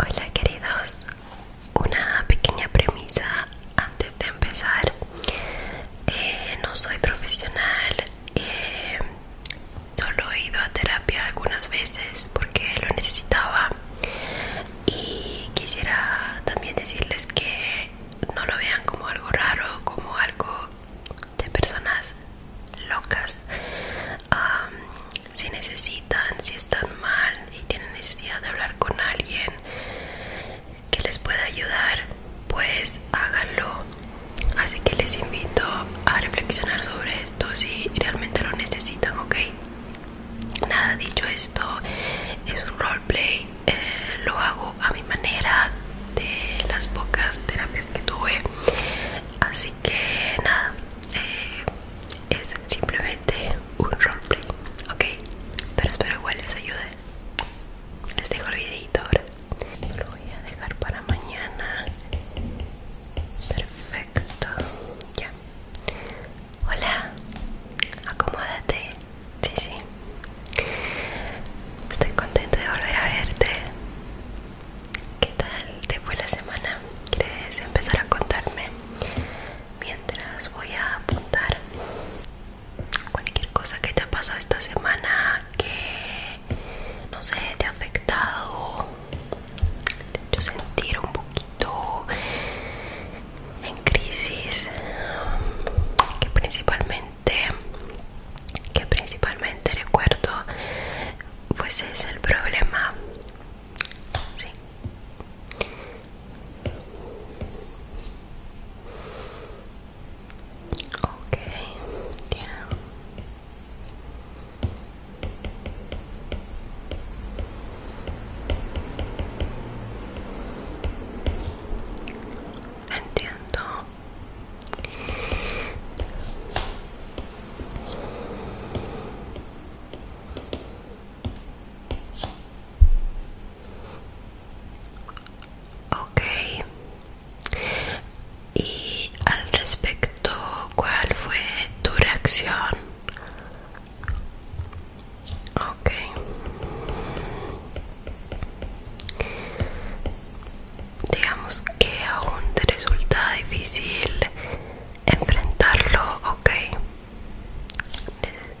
Hola queridos, una pequeña premisa antes de empezar. Eh, no soy profesional, eh, solo he ido a terapia algunas veces porque lo necesitaba y quisiera también decirles que no lo vean como algo raro, como algo de personas locas si necesitan si están mal y tienen necesidad de hablar con alguien que les pueda ayudar pues háganlo así que les invito a reflexionar sobre esto si realmente lo necesitan ok nada dicho esto es un roleplay eh, lo hago a mi manera de las pocas terapias que tuve Así que nada, eh, es simplemente un roleplay, ok. Pero espero igual les ayude. Les dejo el videito Lo voy a dejar para mañana. Perfecto, ya. Hola, acomódate. Sí, sí. Estoy contenta de volver a verte. ¿Qué tal te fue la semana? ¿Quieres empezar a contarme? Mientras voy a apuntar cualquier cosa que te ha pasado esta semana que no sé, te ha afectado, te ha hecho sentir un poquito en crisis, que principalmente que principalmente recuerdo pues es el problema sí. ok entiendo Ok. Y al respecto, ¿cuál fue tu reacción? Okay digamos que aún te resulta difícil enfrentarlo, ok.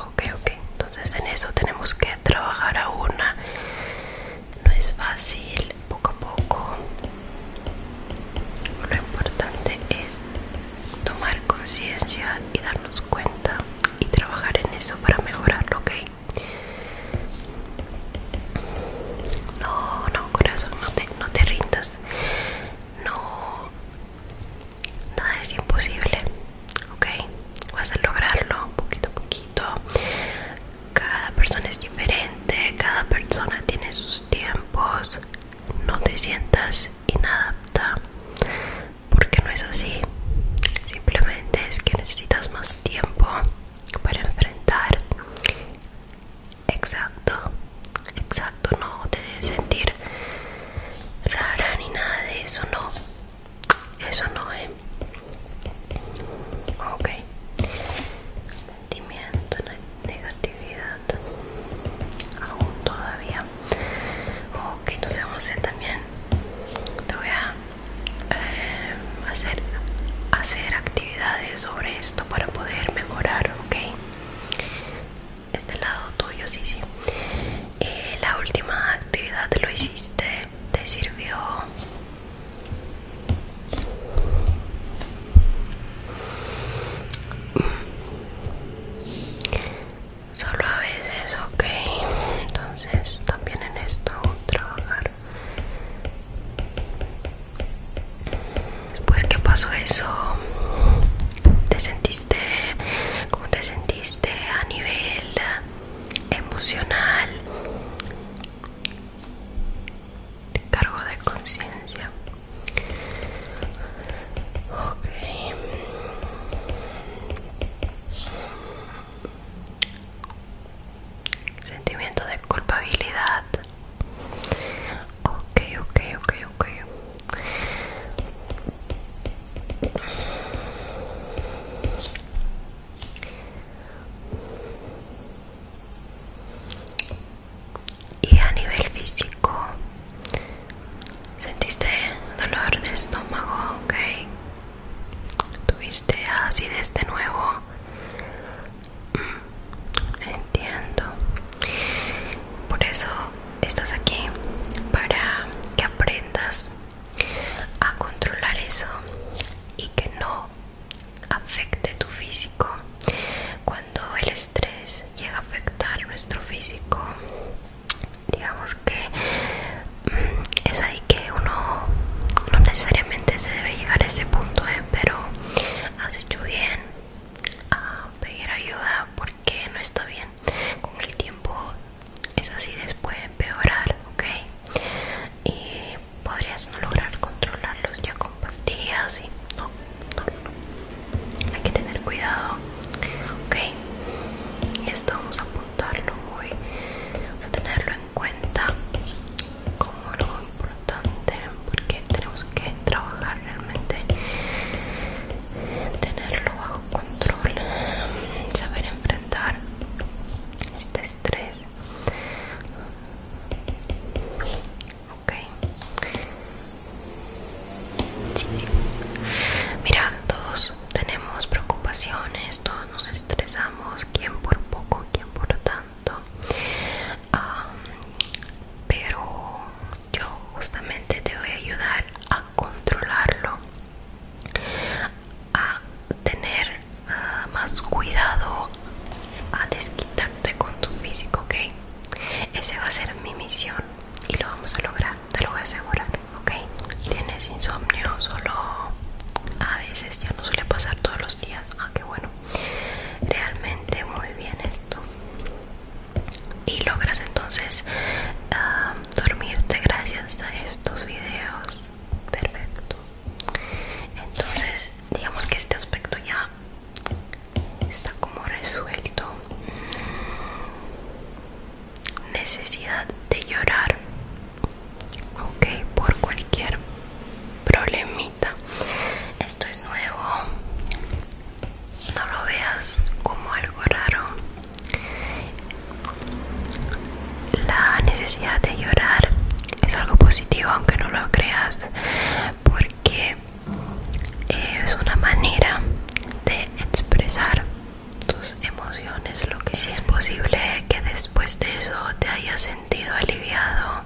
Ok, ok. Entonces en eso tenemos que trabajar aún No es fácil, poco a poco. Lo importante es tomar conciencia y darnos cuenta y trabajar en eso para mejorarlo, ok. No, no, corazón, no te, no te rindas. No, nada es imposible, ¿ok? Vas a lograrlo poquito a poquito. Cada persona es diferente, cada persona tiene sus tiempos. No te sientas inadapta, porque no es así. Simplemente es que necesitas más tiempo para enfrentar exacto exacto no te debes sentir rara ni nada de eso no eso no es ok sentimiento negatividad aún todavía ok entonces vamos a hacer también te voy a eh, hacer, hacer actividades sobre esto para poder mejorar, ¿ok? Este lado tuyo, sí, sí. Eh, la última actividad lo hiciste, te sirvió. Solo a veces, ok entonces también en esto trabajar después que pasó eso te sentiste cómo te sentiste a nivel emocional cargo de conciencia ok Sentimiento de culpabilidad. Ok, ok, ok, okay. Y a nivel físico, ¿sentiste dolor de estómago? Ok tuviste así de nuevo mm, entiendo por eso estás aquí para que aprendas a controlar eso y que no afecte tu físico cuando el estrés llega a afectar nuestro físico digamos que mm, es ahí que uno no necesariamente se debe llegar a ese punto ¿eh? pero has hecho bien a pedir ayuda porque no está bien con el tiempo es así después empeorar ok y podrías no lograr controlarlos ya con pastillas y no hay que tener cuidado ok y esto vamos a apuntarlo muy vamos a tenerlo en cuenta como algo importante porque tenemos que trabajar realmente tenerlo bajo control saber enfrentar este estrés ok sí, mira todos tenemos preocupaciones, todos nos estresamos, quien por poco, quien por tanto. pero yo justamente te voy a ayudar a controlarlo, a tener ah, más cuidado, a desquitarte con tu físico, ¿ok? Esa va a ser mi misión y lo vamos a lograr te lo voy a asegurar, ¿ok? ¿Tienes insomnio? Solo a veces, ya no suele pasar todos los días. Ah, qué bueno. Realmente muy bien esto. Y logras entonces ah, dormirte gracias a estos videos. Perfecto. Entonces, digamos que este aspecto ya está como resuelto necesidad de llorar ok por cualquier problemita esto es nuevo no lo veas como algo raro la necesidad de llorar es algo positivo aunque no lo creas porque eh, es una manera de expresar tus emociones, lo que sí es posible que después de eso te hayas sentido aliviado,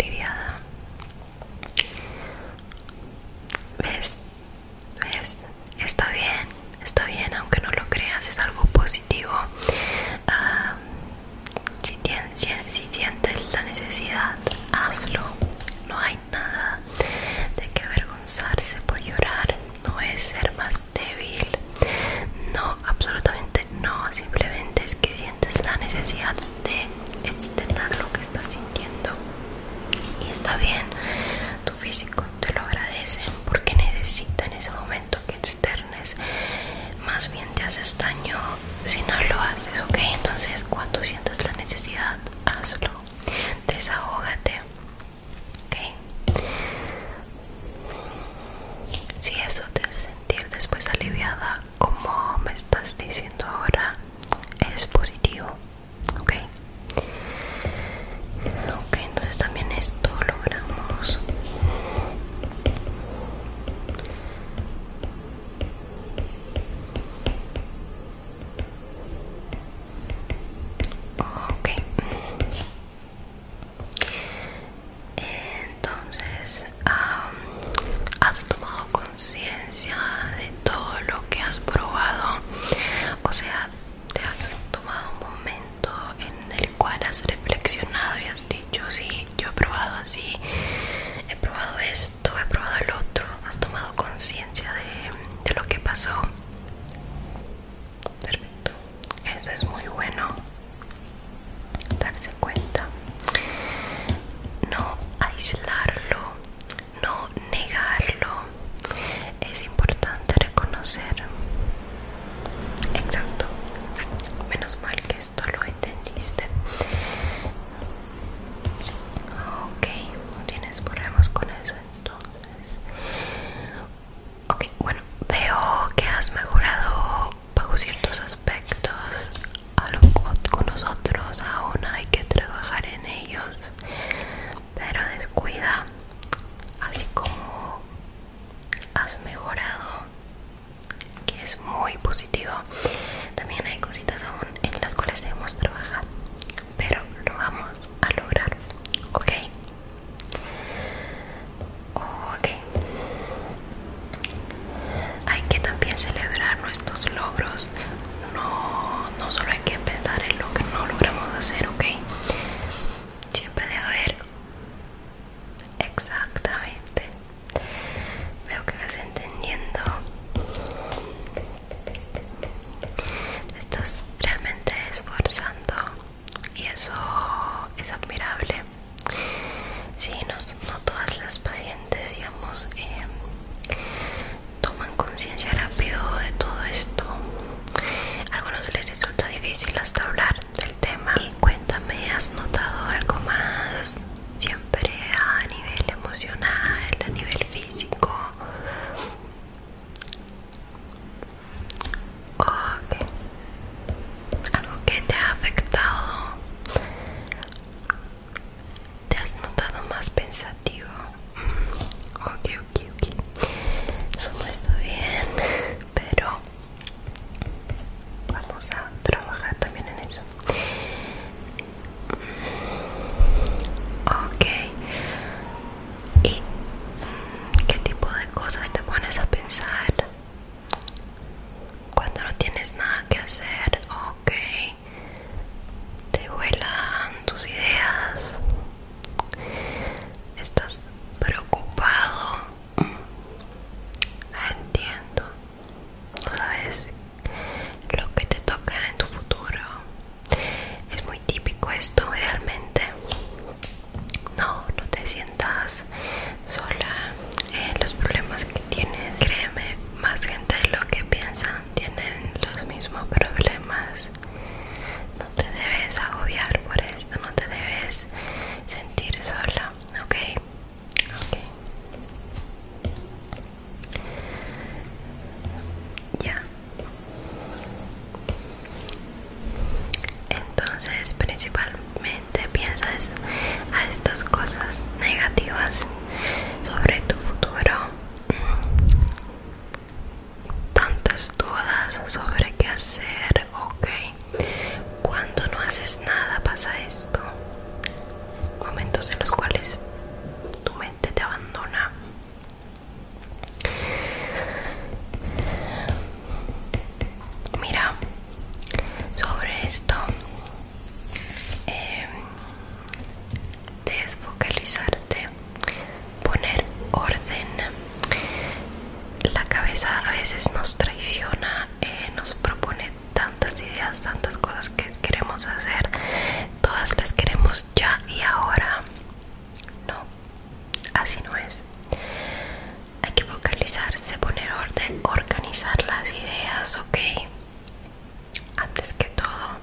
aliviada. ¿Ves? ¿Ves? Está bien, está bien, aunque no lo creas, es algo positivo. Ah, si, si sientes la necesidad, hazlo. No hay nada de que avergonzarse por llorar, no es ser más débil, no, absolutamente no, simplemente es que sientes la necesidad de externar lo que estás sintiendo y está bien, tu físico te lo agradece porque necesita en ese momento que externes, más bien te haces daño si no lo haces, ok, entonces cuando sientas la necesidad hazlo desahógate ok si eso te hace sentir después aliviada como me estás diciendo ahora es positivo ok ok entonces también esto logramos Ok. Entonces, ¿has tomado conciencia de todo lo que has probado? O sea, ¿te has tomado un momento en el cual has reflexionado y has dicho, sí, yo he probado así, he probado esto? esto he probado el otro, has tomado conciencia de, de lo que pasó. Perfecto, eso es muy bueno. Darse cuenta, no aislarlo, no negarlo. Es importante reconocer. Exacto, menos mal que esto lo entendiste. Ok, no tienes problemas con eso entonces. Ok, bueno, veo que has mejorado bajo ciertos aspectos con nosotros, aún hay que trabajar en ellos, pero descuida, así como has mejorado que es muy positivo también hay cositas aún en las cuales debemos trabajar pero lo vamos a lograr ok ok hay que también celebrar nuestros logros no, no solo hay que pensar en lo que no logramos hacer ok siempre debe haber exactamente Veo que vas entendiendo. Estás realmente esforzando y eso es admirable. si, no, todas las pacientes, digamos, eh, toman conciencia rápido de todo esto. A algunos les resulta difícil hasta hablar del tema. cuéntame, ¿has notado algo más? ¿Sí? a nivel emocional, a nivel físico. Algo que te ha afectado. Te has notado más pensativo. Mm, ok, ok, ok. Eso no está bien, pero vamos a trabajar también en eso. Ok. ¿Y qué tipo de cosas te pones a pensar? Cuando no tienes nada que hacer, ok. Te vuelan tus ideas. Estás preocupado. Entiendo no sabes lo que te toca en tu futuro. Es muy típico esto realmente. No, no te sientas sola en eh, los problemas que tienes. Créeme, más gente de lo que piensan tienen los mismos problemas. No te debes agobiar por esto, no te debes sentir sola, ¿ok? ok ya entonces principalmente piensas a estas cosas negativas sobre tu futuro mm. tantas dudas sobre qué hacer ok cuando no haces nada pasa esto. Momentos en los cuales tu mente te abandona. Mira, sobre esto em, desfocalizarte, poner orden. La cabeza a veces nos traiciona eh, nos propone tantas ideas, tantas cosas que queremos hacer, todas las queremos ya y ahora. No, así no es. Hay que focalizarse, poner orden, organizar las ideas, ¿ok? Antes que todo,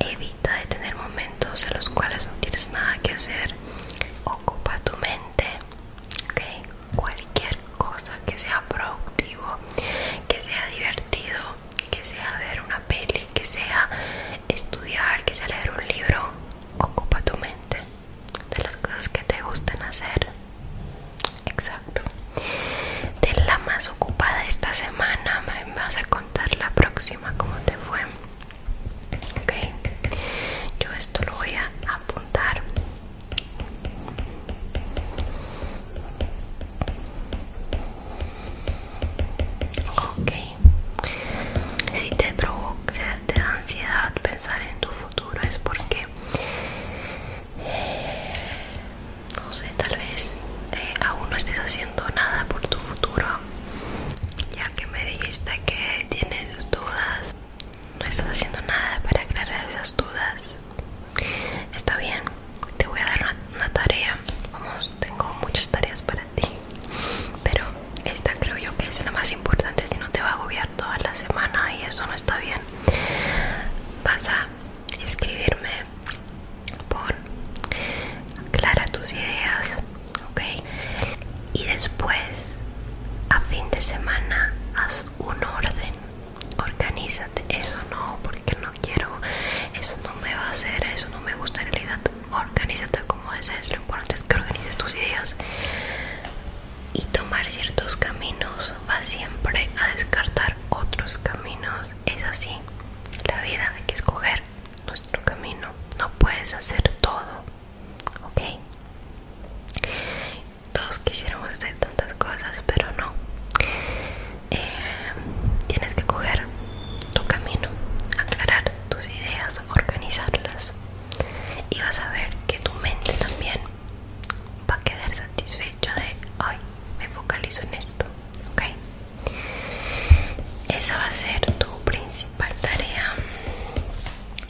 evita de tener momentos en los cuales no tienes nada que hacer. Ocupa tu mente, ¿ok? cualquier cosa que sea productivo, que sea divertido, que sea ver una peli, que sea estudiar, que sea leer un libro. Ocupa tu mente de las cosas que te gustan hacer. Exacto. De la más ocupada esta semana, me vas a contar la próxima cómo te fue. Ok, yo esto lo voy a apuntar Ok, si te provoca te da ansiedad pensar en tu futuro es porque, eh, no sé, tal vez eh, aún no estés haciendo nada por tu futuro, ya que me dijiste que tienes dudas no estás haciendo nada para aclarar esas dudas. Está bien, te voy a dar una, tarea. Vamos, tengo muchas tareas para ti. Pero esta creo yo que es la más importante, si no te va a agobiar toda la semana y eso no está bien. Vas a escribirme por aclara tus ideas ok y después a fin de semana haz un orden organízate eso no porque no quiero eso no me va a hacer eso no me gusta en realidad organízate como desees lo importante es que organices tus ideas y tomar ciertos caminos va siempre a descartar otros caminos es así la vida hay que escoger nuestro camino no puedes hacer todo ok todos quisiéramos hacer tantas cosas pero no em, tienes que coger tu camino aclarar tus ideas organizarlas y vas a ver que tu mente también va a quedar satisfecha de hoy me focalizo en esto ok esa va a ser tu principal tarea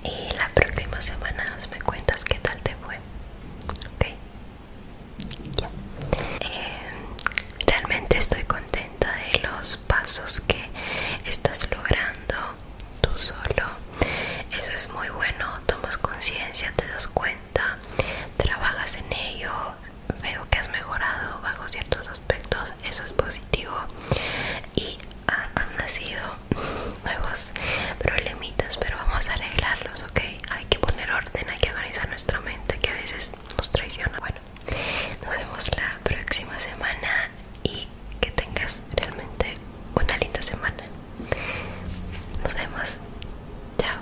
y la próxima semana me cuentas qué tal te fue. Ok. Ya. Eh, realmente estoy contenta de los pasos que estás logrando tú solo. Eso es muy bueno. Tomas conciencia, te das cuenta, trabajas en ello. Veo que has mejorado bajo ciertos aspectos eso es positivo. Y han nacido nuevos problemitas, pero vamos a arreglarlos, ¿ok? Hay que poner orden, hay que organizar nuestra mente que a veces nos traiciona. Bueno, nos vemos la próxima semana y que tengas realmente una linda semana. Nos vemos. Chao.